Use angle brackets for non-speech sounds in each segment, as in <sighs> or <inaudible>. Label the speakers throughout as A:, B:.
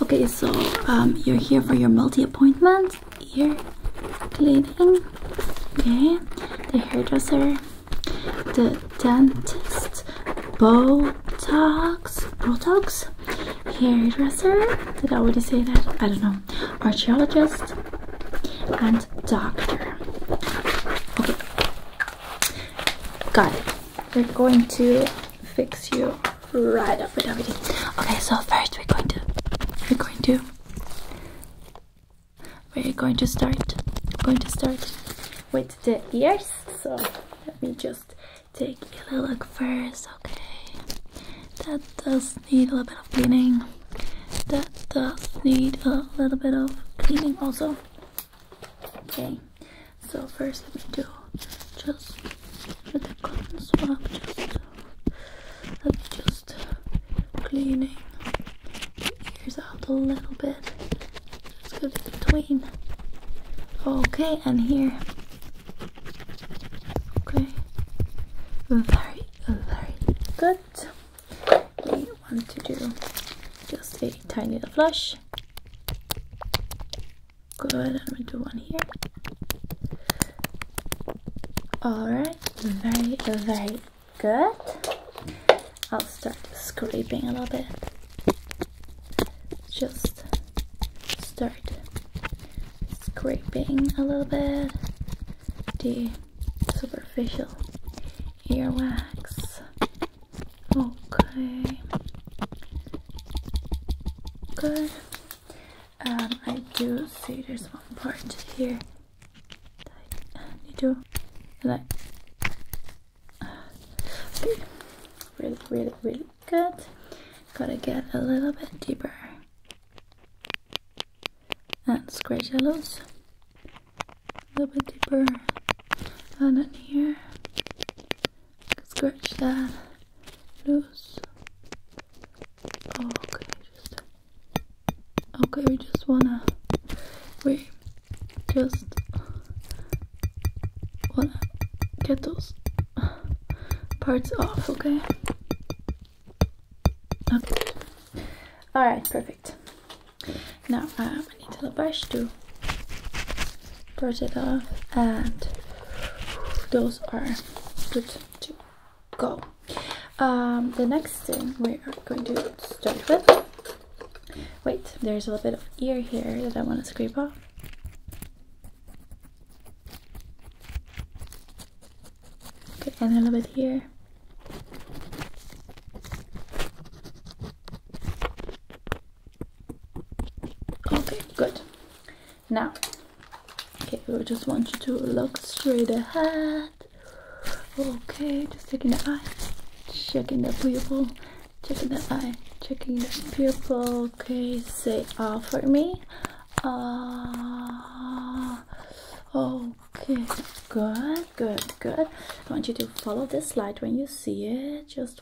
A: Okay, so um, you're here for your multi-appointment, here, cleaning, okay, the hairdresser, the dentist, Botox, Botox, hairdresser, did I already say that? I don't know, archaeologist, and doctor. Okay, got it. We're going to fix you right up with everything. Okay, so first we're going to we're going to we're going to start going to start with the ears. So let me just take a look first. Okay, that does need a little bit of cleaning. That does need a little bit of cleaning also. Okay, so first let me do just with the cotton swab, just let me just cleaning ears out a little bit. Let's go in between. Okay, and here. Okay. Very, very good. We want to do just a tiny little flush. Good, I'm gonna do one here. Alright, very, very good. I'll start scraping a little bit. Just start scraping a little bit the superficial earwax Okay. Good. Um, I do see there's one part here I need to like. Okay. Really, really, really good. Gotta get a little bit deeper and scratch a loose. A little bit deeper down in here scratch that loose. Okay, just okay. We just wanna we just wanna get those parts off. Okay. Okay. All right. Perfect. Now, uh, have a brush to brush it off and those are good to go um, the next thing we are going to start with wait there's a little bit of ear here that I want to scrape off okay and a little bit here Okay, good. Now, okay, we just want you to look straight ahead. Okay, just checking the eye, checking the pupil, checking the eye, checking the pupil. Okay, say ah for me. Ah. okay, good, good, good. I want you to follow this light when you see it. Just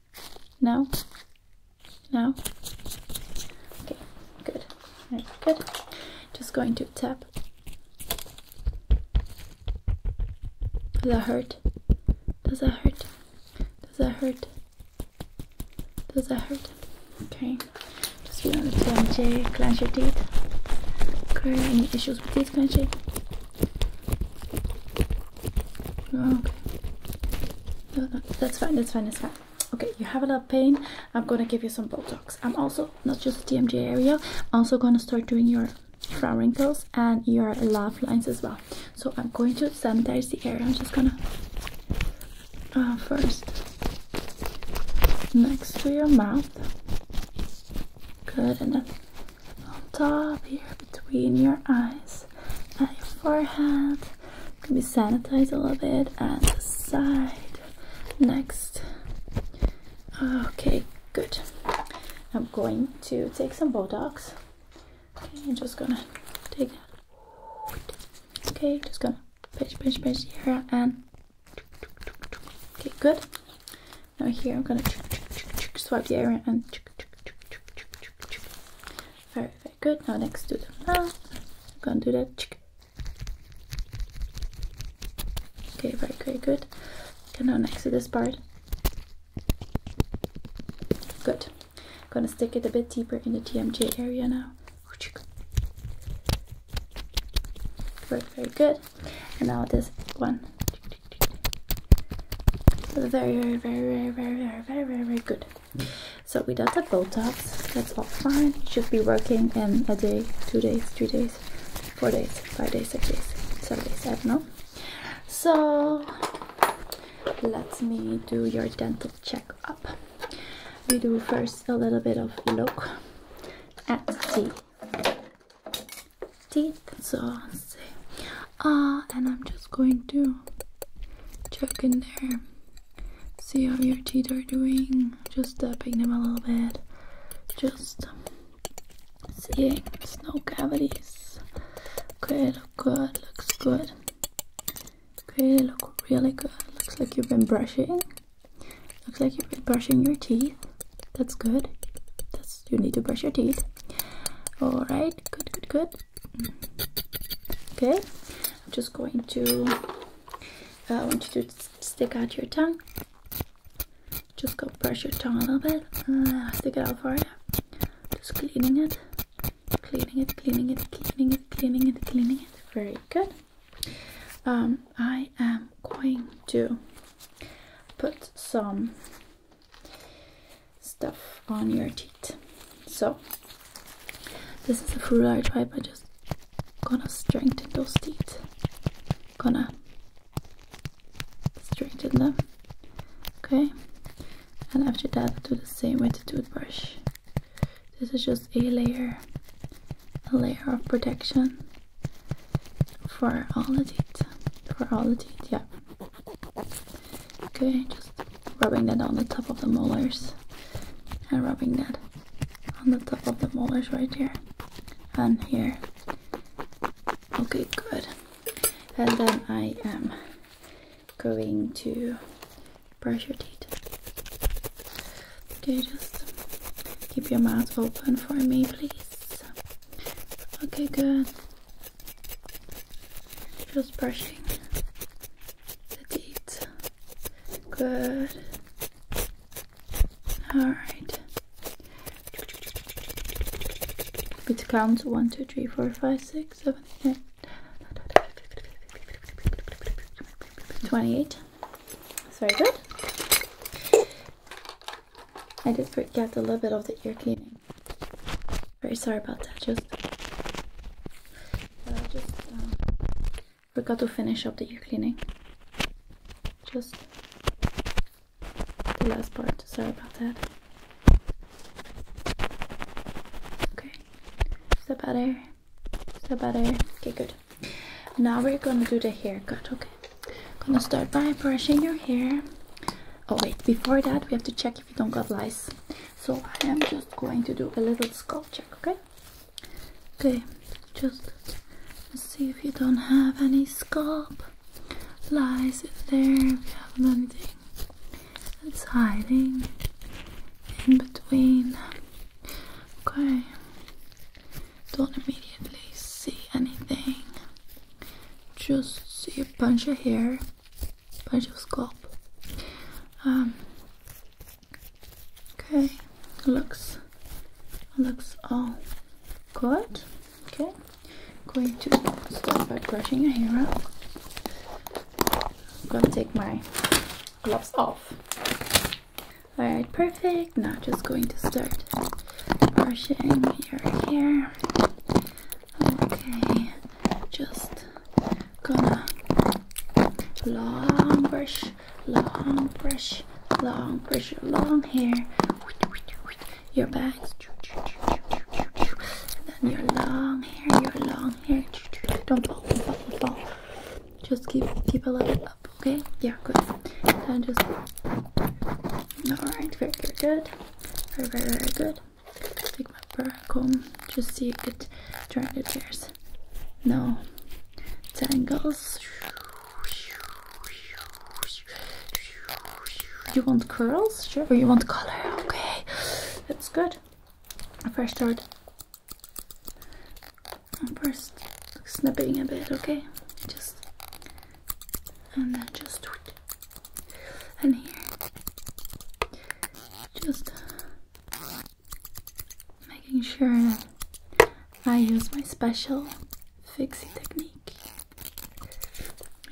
A: Now, now. Okay, good. Very good. Just going to tap. Does that hurt? Does that hurt? Does that hurt? Does that hurt? Okay. Just be on the 2J. clench your teeth. Okay, any issues with teeth clenching? Okay. that's fine, that's fine, that's fine. Okay, you have a lot of pain. I'm gonna give you some Botox. I'm also, not just the TMJ area, I'm also gonna start doing your frown wrinkles and your laugh lines as well. So I'm going to sanitize the area. I'm just gonna uh, first next to your mouth. Good, enough on top here between your eyes and your forehead. Can be sanitized a little bit and the side. Next. Okay, good. I'm going to take some bulldogs. Okay, just gonna take Okay, just gonna pinch, pinch, pinch here and okay, good. Now here I'm gonna swipe the area and very very good. Now next to the mouth, I'm gonna do that. Okay, very very good. Okay, now next to this part. Good. gonna stick it a bit deeper in the TMJ area now. Very very good. And now this one. Very, very, very, very, very, very, very, very good. So we don't have bolt-ups. That's all fine. should be working in a day, two days, three days, four days, five days, six days, seven days. I don't know. So let me do your dental check-up. We do first a little bit of look at the teeth. So I'll ah, and I'm just going to check in there, see how your teeth are doing. Just tapping them a little bit, just seeing no cavities. Okay, look good, looks good. Okay, look really good. Looks like you've been brushing. Looks like you've been brushing your teeth. That's good. That's you need to brush your teeth. All right, good, good, good. Okay, I'm just going to. Uh, I want you to stick out your tongue. Just go brush your tongue a little bit. Uh, stick it out for you. Just cleaning it, cleaning it, cleaning it, cleaning it, cleaning it, cleaning it. Very good. Um, I am going to put some stuff on your teeth. So this is a the food I just gonna strengthen those teeth. Gonna strengthen them. Okay. And after that do the same with the toothbrush. This is just a layer, a layer of protection for all the teeth, for all the teeth, yeah okay just rubbing that on the top of the molars and rubbing that on the top of the molars right here and here okay good and then i am going to brush your teeth okay just keep your mouth open for me please Okay, good. Just brushing the teeth. Good. Alright. It counts 1, 2, 3, 4, 5, 6, 7, 8, 28. It's very good. I just forget a little bit of the ear cleaning. Very sorry about that. Just, just um, forgot to finish up the ear cleaning. Just the last part. Sorry about that. Okay. Is that better? Is that better? Okay, good. Now we're gonna do the haircut. Okay. Gonna start by brushing your hair. Oh wait, before that we have to check if you don't got lice. So I am just going to do a little scalp check, okay? Okay, just see if you don't have any scalp lice in there, if you have anything that's hiding in between. Okay, don't immediately see anything. Just see a bunch of hair, bunch of scalp. Um, okay, looks looks all good. Okay, going to start by brushing your hair out. I'm gonna take my gloves off. Alright, perfect. Now just going to start brushing your hair. Okay, just gonna long brush, long brush, long brush, long hair. Your back. And then your long hair, your long hair. Don't fall, don't fall. Just keep keep a level up, okay? Yeah, good. And just alright, very, very good. Very, very, good. Take my burr comb, just to get during the tears. No tangles. You want curls? Sure. Or oh, you want color? Okay. That's good. First start and first snipping a bit, okay? Just and then just and here. Just making sure I use my special fixie technique.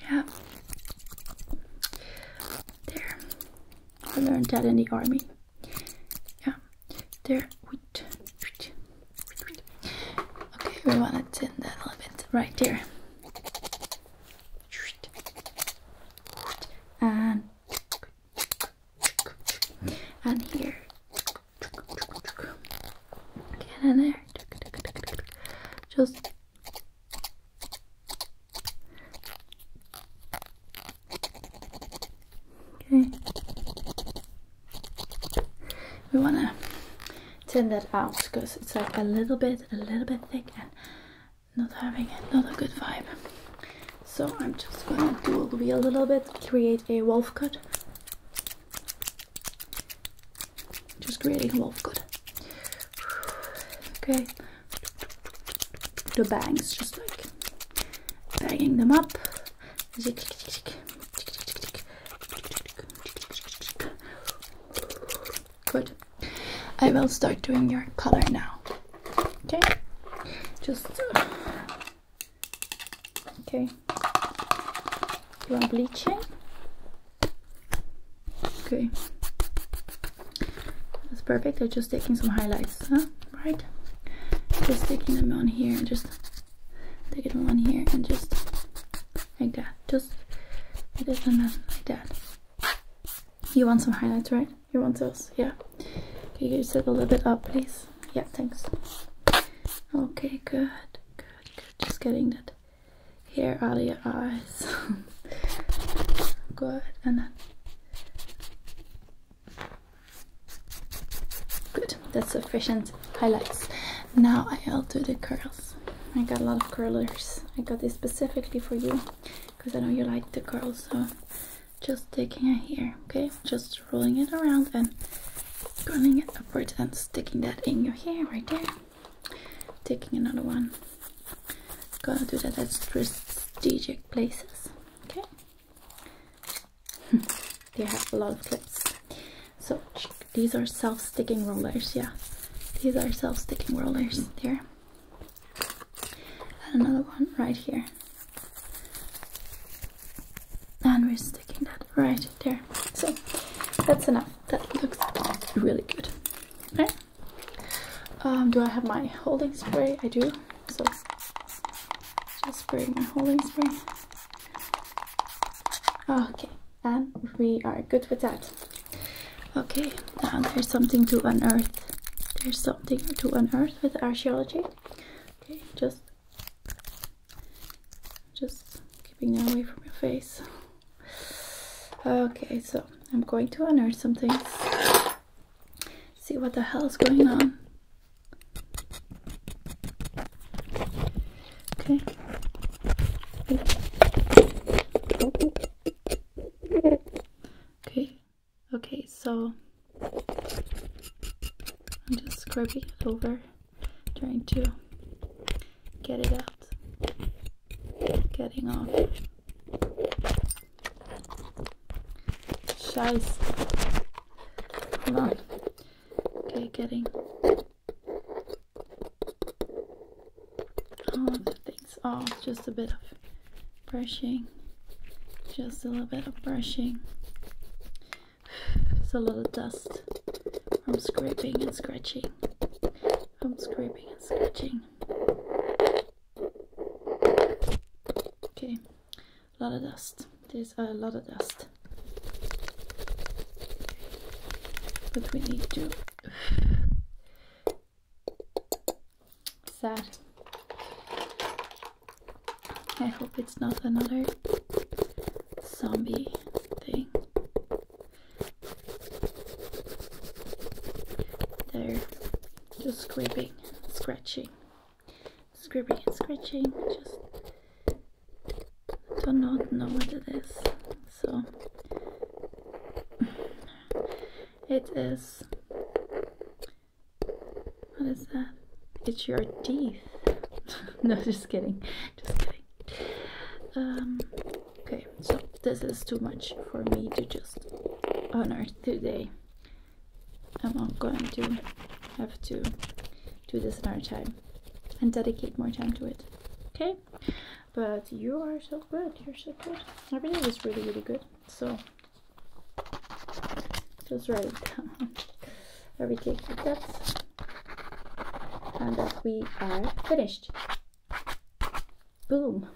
A: Yeah. There. I learned that in the army. Yeah. There we Okay, we want to thin that a little bit right there. And and here. and there. Just Okay. We want to turn that out because it's like a little bit, a little bit thick and not having not a good vibe. So I'm just going to do a little bit, create a wolf cut. Just creating a wolf cut. Okay. The bangs, just like banging them up. Good. I will start doing your color now. Okay. Just. Uh, okay. You bleaching? Okay. That's perfect. I'm just taking some highlights. Huh? right? Just taking them on here and just taking them on here and just like that. Just this and then like that. You want some highlights, right? You want those? Yeah. Can you sit a little bit up, please? Yeah, thanks. Okay, good, good, good. Just getting that hair out of your eyes. <laughs> good, and Good, that's efficient highlights. Now I'll do the curls. I got a lot of curlers. I got this specifically for you because I know you like the curls. So just taking it here, okay? Just rolling it around and curling it upwards and sticking that in your hair right there. Taking another one. Gonna do that at strategic places, okay? <laughs> they have a lot of clips. So these are self-sticking rollers, yeah. These are self-sticking rollers mm-hmm. there. And another one right here. And we're sticking that right there. So that's enough. That looks really good. Okay. Um, do I have my holding spray? I do. So just spray my holding spray. Okay, and we are good with that. Okay, now there's something to unearth. There's something to unearth with archaeology. Okay, just just keeping that away from your face. Okay, so I'm going to unearth something see what the hell's going on. Okay. Okay. Okay, so I'm just scrubbing it over, trying to get it out, getting off. Scheiße. Hold on. Okay, getting all the things off. just a bit of brushing. Just a little bit of brushing. It's a lot of dust from scraping and scratching. From scraping and scratching. Okay, a lot of dust. There's a lot of dust. But we need to. Sad. I hope it's not another zombie thing. There just scraping, scratching, scraping and scratching. Just do not know what it is. So <sighs> it is. What is that? It's your teeth. <laughs> no, just kidding. Just kidding. Um, okay, so this is too much for me to just honor today and I'm going to have to do this another time and dedicate more time to it. Okay? But you are so good. You're so good. Everything is really, really good. So just write it down. <laughs> Every cake with that. And that we are finished. Boom.